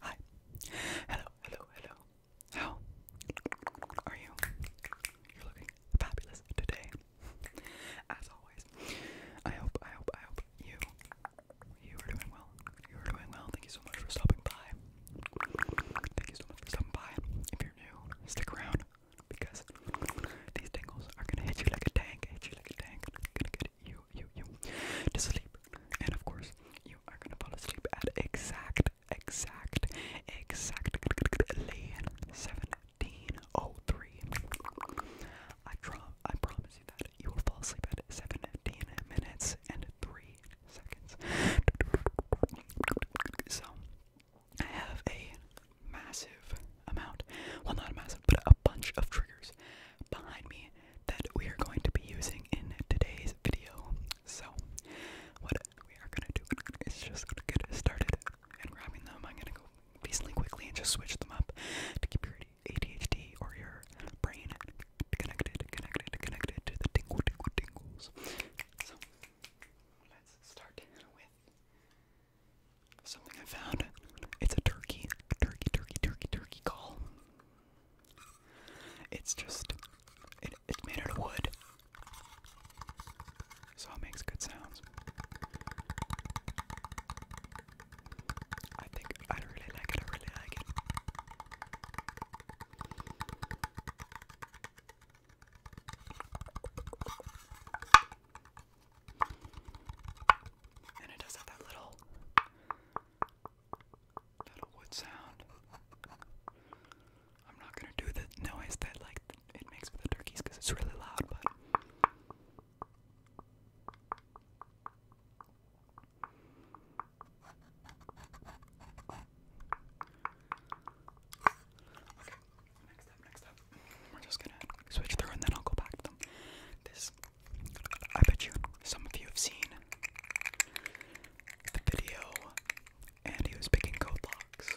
Hi. Hello, hello, hello. How are you? You're looking fabulous today. As always. I hope, I hope, I hope you you are doing well. You are doing well. Thank you so much for stopping by. Thank you so much for stopping by. If you're new, stick around because these tingles are gonna hit you like a tank, hit you like a tank, gonna get you, you, you to sleep. And of course, you are gonna fall asleep at exact, exact, exact, 1703. I promise you that you will fall asleep at 17 minutes and 3 seconds. So, I have a massive amount, well, not a massive, but a bunch of triggers behind me that we are going to be using in today's video. So, what we are gonna do is just get started and grabbing them. I'm gonna go decently quickly and just switch them up to keep your ADHD or your brain connected, connected, connected to the tingle, tingle, tingles. So, let's start with Something I found. It's a turkey. Turkey, turkey, turkey, turkey call. It's just, it, it's made out of wood. So it makes good sounds. I think I really like it. I really like it. And it does have that little little wood sound. I'm not gonna do the noise that like it makes for the turkeys because it's really loud, but Okay, next up, next up. We're just gonna switch through and then I'll go back to them. This, I bet you, some of you have seen the video, and he was picking code locks.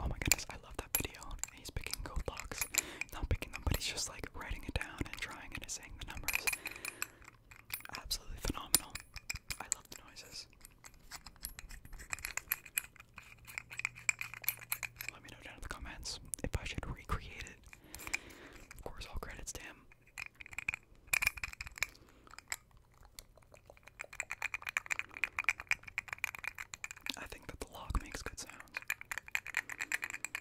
Oh my goodness, I love that video. He's picking code locks, not picking them, but he's just like writing it down and trying it and saying the numbers. Absolutely phenomenal. I love the noises. Let me know down in the comments if I should recreate it. Of course, all credits to him. I think that the lock makes good sounds.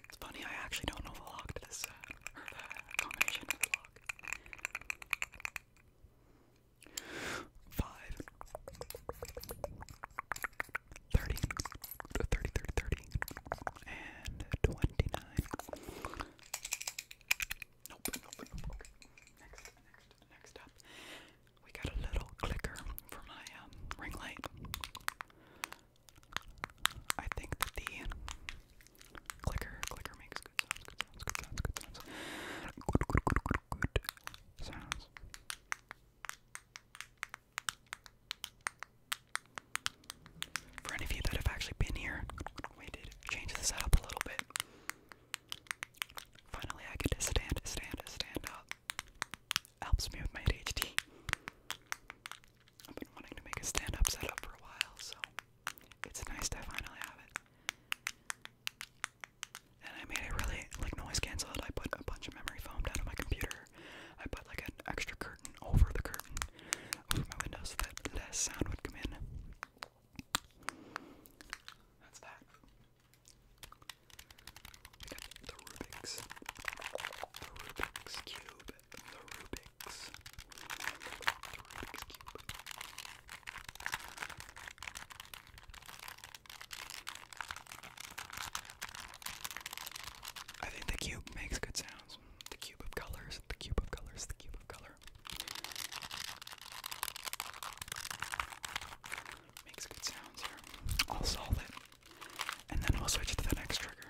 It's funny, I actually don't know the lock to this sound, or combination lock. Five. 30, 30, and 29. Nope, nope, nope. Next, next, next up, we got a little clicker for my um, ring light. I think that the clicker, clicker makes good sounds, good sounds, good sounds, good sounds. good sounds. For any of you that have actually been here, we did change the setup a little bit. Finally, I get to stand, stand, stand up. Helps me with my ADHD. I've been wanting to make a stand up setup for a while, so it's nice to finally have it. And I made it really like noise cancelled. I put a bunch of memory foam down on my computer I put like an extra curtain over the curtain over my window so that less sound would come in. That's that. We got the Rubik's, the Rubik's Cube, the Rubik's, the Rubik's Cube. I think the cube makes good sounds. The cube of colors, the cube of colors, the cube of color. Makes good sounds here. I'll And then I'll switch to the next trigger.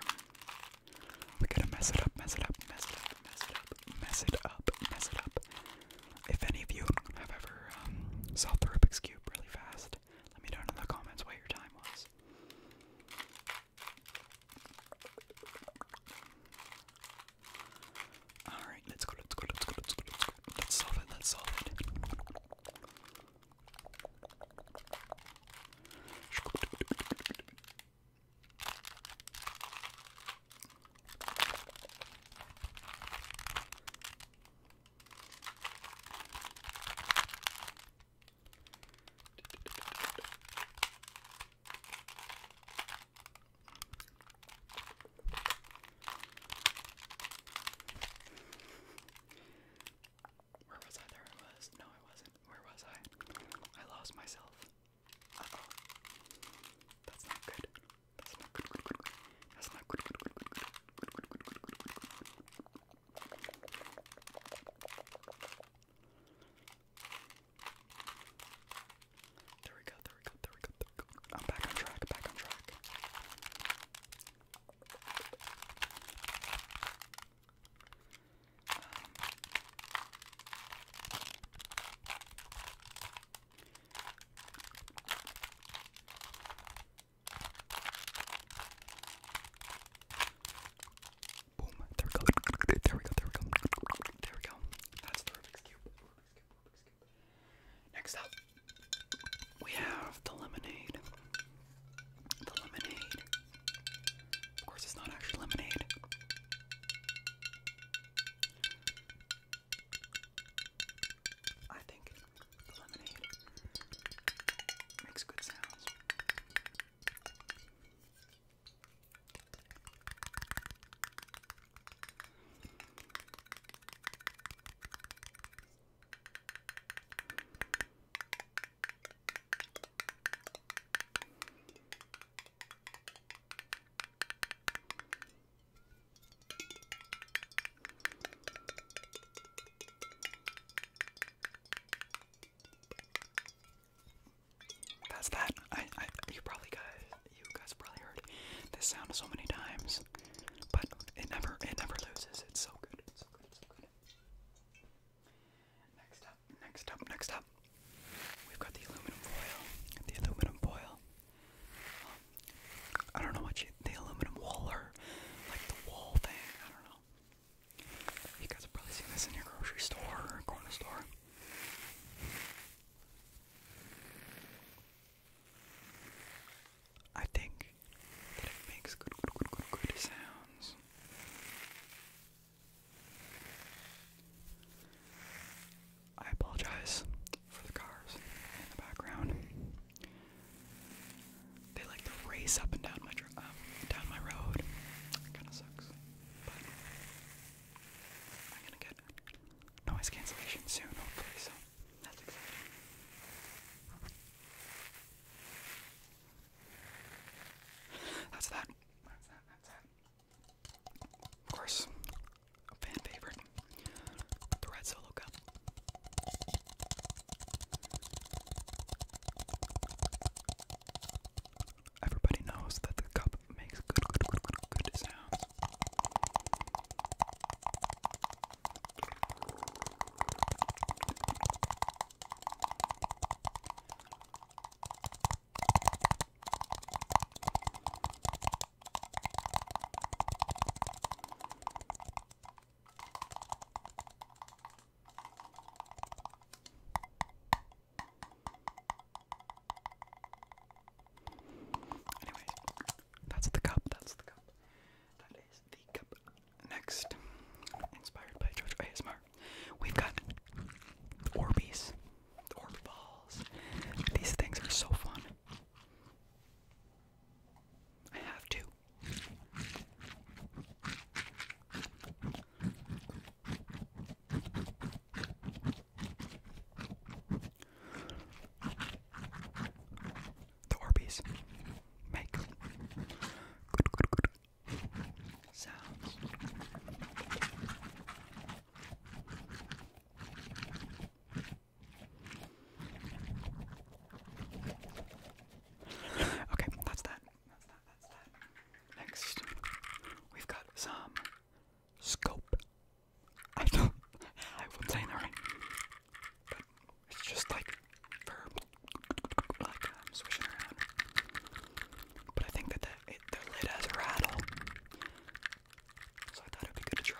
We gotta mess it up, mess it up, mess it up, mess it up, mess it up, mess it up. If any of you have ever um, solved the Rubik's Cube really fast, let me know in the comments what your time was. Alright, let's go, let's go, let's go. Let's solve it, let's solve it. Where was I? There I was. No, I wasn't. Where was I? I lost myself. That's not good. That's not good. good, good, good, good. There we go, there we go, there we go, there we go. I'm back on track, back on track. Um, Boom. There we go. There we go. There we go. There we go. That's the Rubik's Cube. Next up, we have the lemonade. The lemonade. Of course, it's not actually lemonade. I think the lemonade makes good sounds. I that's that. I, I you probably guys you guys probably heard this sound so many times, but it never it never loses. It's so good. so good. so good. Next up, next up, next up. We've got the aluminum foil. The aluminum foil. I don't know what the aluminum wall like the wall thing. I don't know. You guys have probably seen this in your grocery store or corner store. I think that it makes good, good, good, good, good sounds. I apologize for the cars in the background. They like to race up and down my um, down my road. Kind of sucks, but I'm gonna get noise cancellation soon, hopefully. So That's that. That's that. That's that. Of course, fan favorite, the Red Solo Cup. Everybody knows that the cup makes good, good, good, good, good sounds. Anyways, that's the cup, that's the cup. That is the cup. Next, inspired by George ASMR, we've got the Orbeez, balls. These things are so fun. I have to. The Orbeez make good, good, good sounds. Okay, that's that. Next, we've got some scope. I don't, I wouldn't say that but it's just like like am um, swishing around. But I think that the lid has a rattle. So I thought it'd be good to try.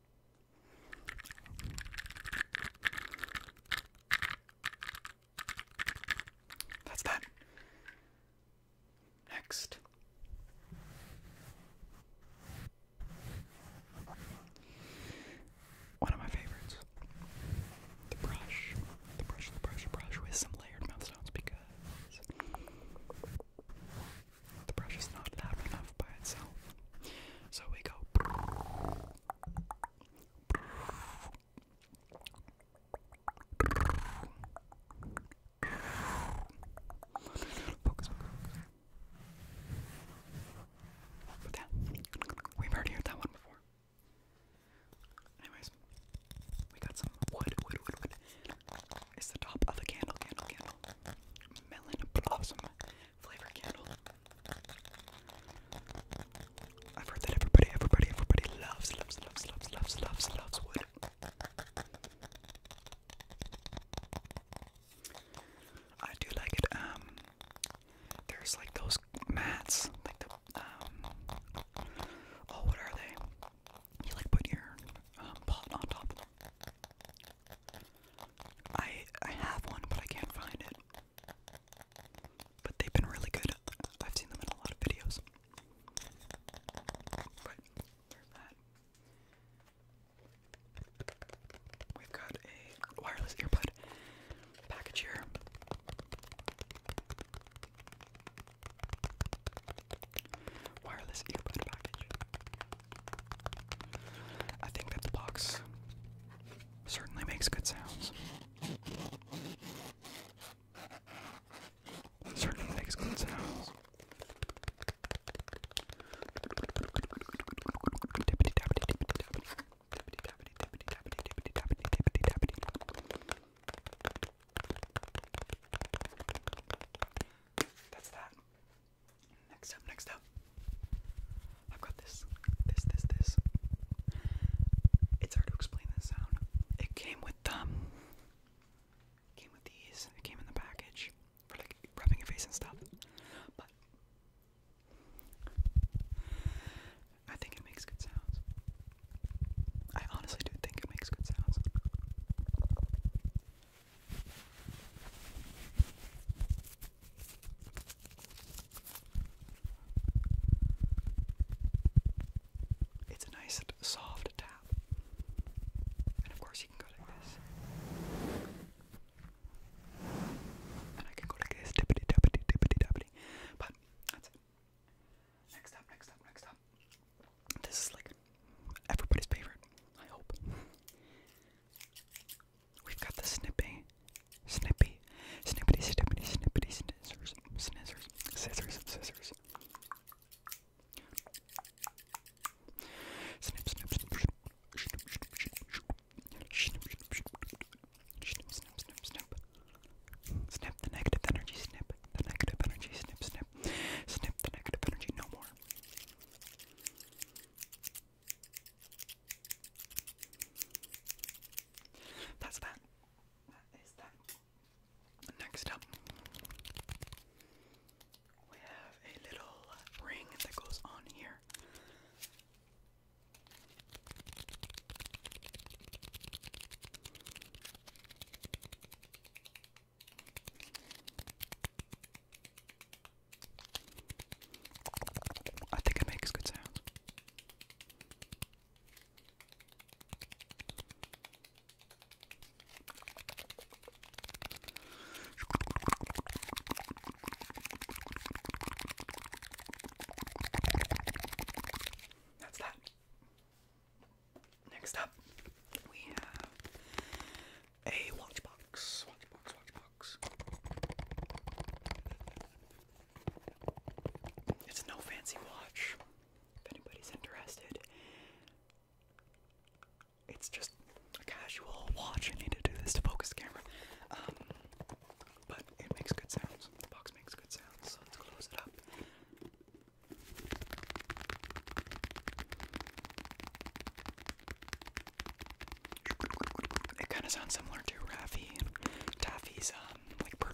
that's that. Next. One of my favorites. The brush. The brush, the brush, brush with some layered mouth because the brush is not loud enough by itself. So we go. Focus, we've already heard that one before. Anyways, we got some wood, wood, wood, wood. It's the top of the candle, candle, candle. Melon blossom flavor candle. I've heard that everybody, everybody, everybody loves, loves, loves, loves, loves, loves, loves wood. I do like it. Um, there's like those mats, like the um, oh, what are they? You like put your um, pot on top of them. I I have one, but I can't find it. But they've been really good. I've seen them in a lot of videos. But that. We've got a wireless earbud package here. Wireless earbud package. I think that the box certainly makes good sounds. Certainly makes good sounds. That's that. Next up, next up. I've got this, this, this, this. It's hard to explain this sound. It came with them. Um, came with these. came in the package for like rubbing your face and stuff. But I think it makes good sounds. I honestly do think it makes good sounds. It's a nice soft tap. And of course you can go like this. And I can go like this, tippity tappity tippity tappity. But Next up, next up, next up. This is like everybody's favorite, I hope. We've got the snippy, snippy, snippity, snippity, snippity, scissors, scissors, scissors, scissors. Snip, snip, snip, snip, snip, snip, snip, snip, snip, snip. Snip the negative energy, snip the negative energy, snip, snip, snip the negative energy, no more. That's that. That is that. Next up, we have a little ring that goes on here. I think it makes good sound. That's that. Next up, we have a watch box. Watch box, watch box. It's no fancy watch. If anybody's interested, it's just a casual watch. I need to do this to focus camera. Um, but it makes good sounds. The box makes good sounds, so let's close it up. It kind of sounds similar to Raffy Taffy's um like bird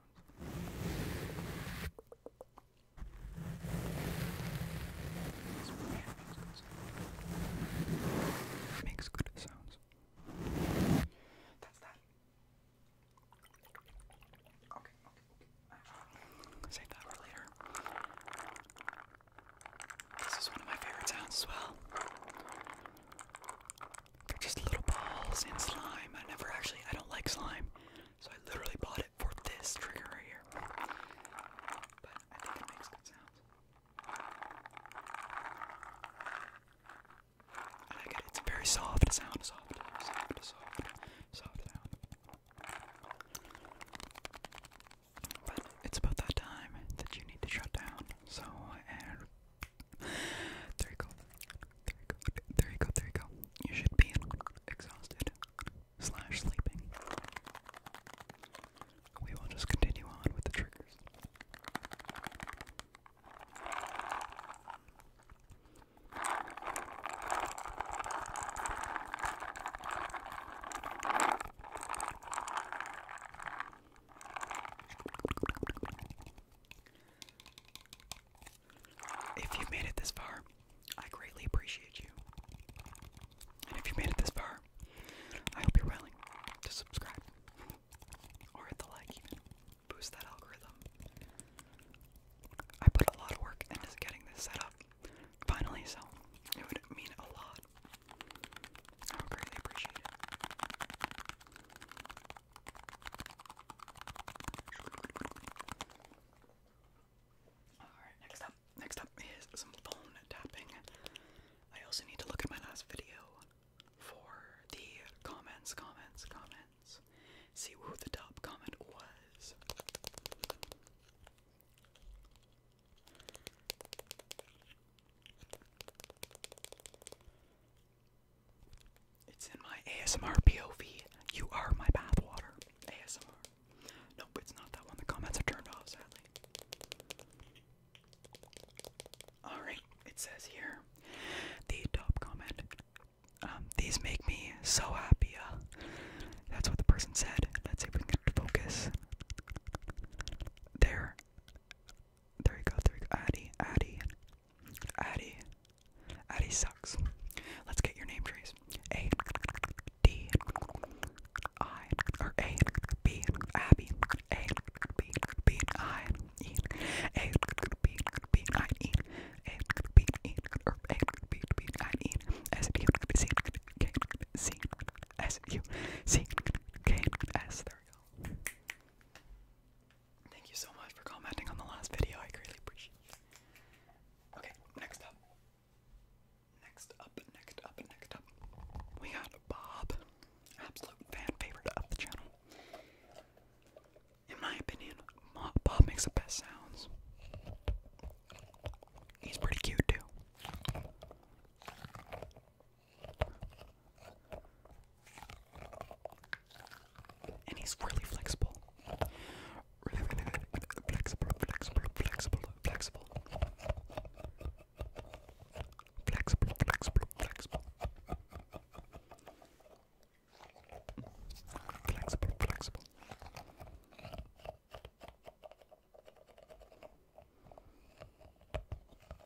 sounds. Makes good sounds. That's that. Okay, okay, okay. Save that for later. This is one of my favorite sounds as well. They're just little balls in slime. I never actually, I don't like slime. So I literally bought it for this trigger right here. But I think it makes good sounds. I like it. It's a very soft sound. Soft, soft, soft, soft sound. But it's about that time that you need to shut down. So, and there you go. There you go. There you go. There you go. You should be exhausted slash sleeping. We will just continue on with the triggers. If you made it this far, I greatly appreciate you. And if you made it this far, I hope you're willing to subscribe or hit the like, even boost that algorithm. I put a lot of work into getting this set up finally, so it would mean a lot. I would greatly appreciate it. Alright, next up, next up is some phone tapping. I also need to look at my last video for the comments, comments, comments. See who the top comment was. It's in my ASMR POV. You are my bathwater. ASMR. Nope, it's not that one. The comments are turned off, sadly. Alright, it says here the top comment. Um, these make me so happy. Uh, that's what the person said. Let's see if we can get focus. they there you go, there you go. Addy, Addy, Addy, Addy sucks. Let's get your name trees. A, D, I, or A, B, Abby, A, B, B, I, E, A, B, B, I, E, A, B, E, or A, B, B, I, E, S, U, C, K, C, S, U, C, K, S. There we go. Thank you so much for commenting on the last video. I greatly appreciate it. Okay, next up. Next up, next up, next up. We got Bob, absolute fan favorite of the channel. In my opinion, Bob makes the best sounds. He's pretty cute too. And he's really flexible. flexible, flexible. Flexible, flexible, flexible. Flexible, flexible.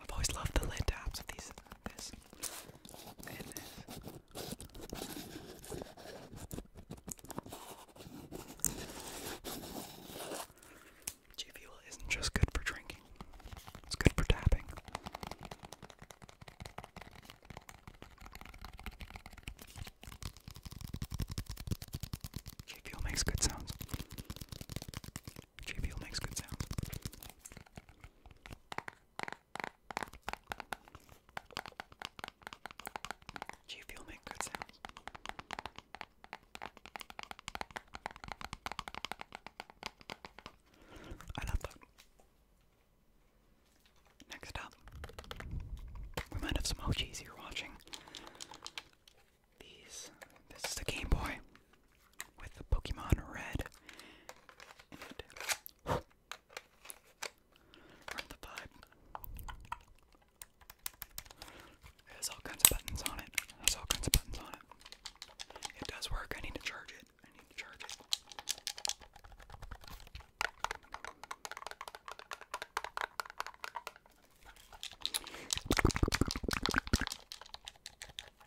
I've always loved the lid tabs of these, this, and this. G Fuel isn't just good for drinking, it's good for tapping. G Fuel makes good sounds. JBL makes good sounds. G Fuel make good sounds. I love Next up, we might have some OGs you watching. These. This is the Game Boy with the Pokemon Red in Run the vibe. It has all kinds of buttons on it. It has all kinds of buttons on it. It does work. I need to charge it. I need to charge it.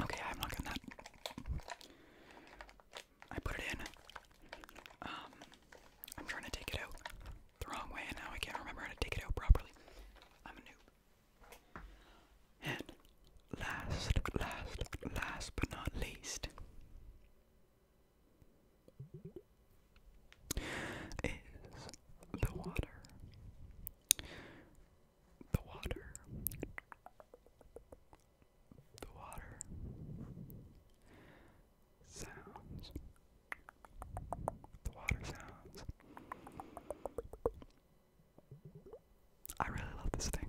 Okay, I am not gotten that. I put it in. Um, I'm trying to take it out the wrong way, and now I can't remember how to take it out properly. I'm a noob. And last, last, last but not least is the water the water, the water sounds, the water sounds. I really love this thing.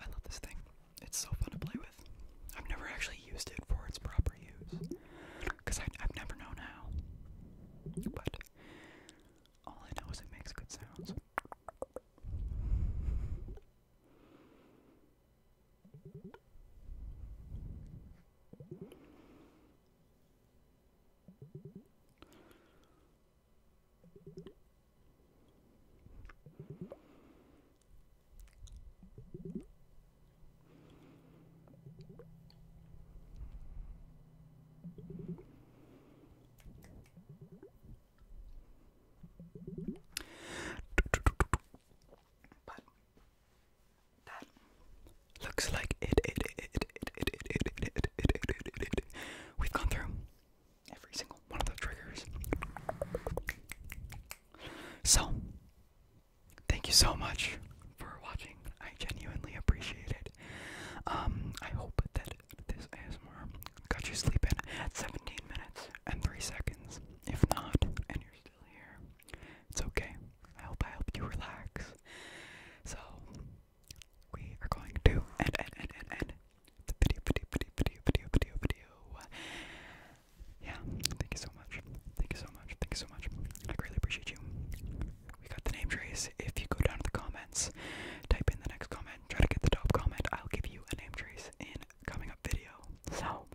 I love this thing. It's so fun to play with. I've never actually used it for its proper use. Because I've never known how. But all I know is it makes good sounds. But that looks like it, We've gone through every single one of the triggers. So, thank you so much for watching. I genuinely appreciate it. Um, I hope that this ASMR got you sleeping at 17 minutes and 3 seconds. If not, and you're still here, it's okay. I hope I helped you relax. So, we are going to end, end, end, end, end the video, video, video, video, video, video, video. Yeah, thank you so much. Thank you so much. Thank you so much. I really appreciate you. We got the name trace. If you go down to the comments, type in the next comment, try to get the top comment. I'll give you a name trace in coming up video. So,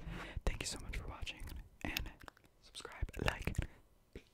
thank you so much for watching and subscribe, like. peace.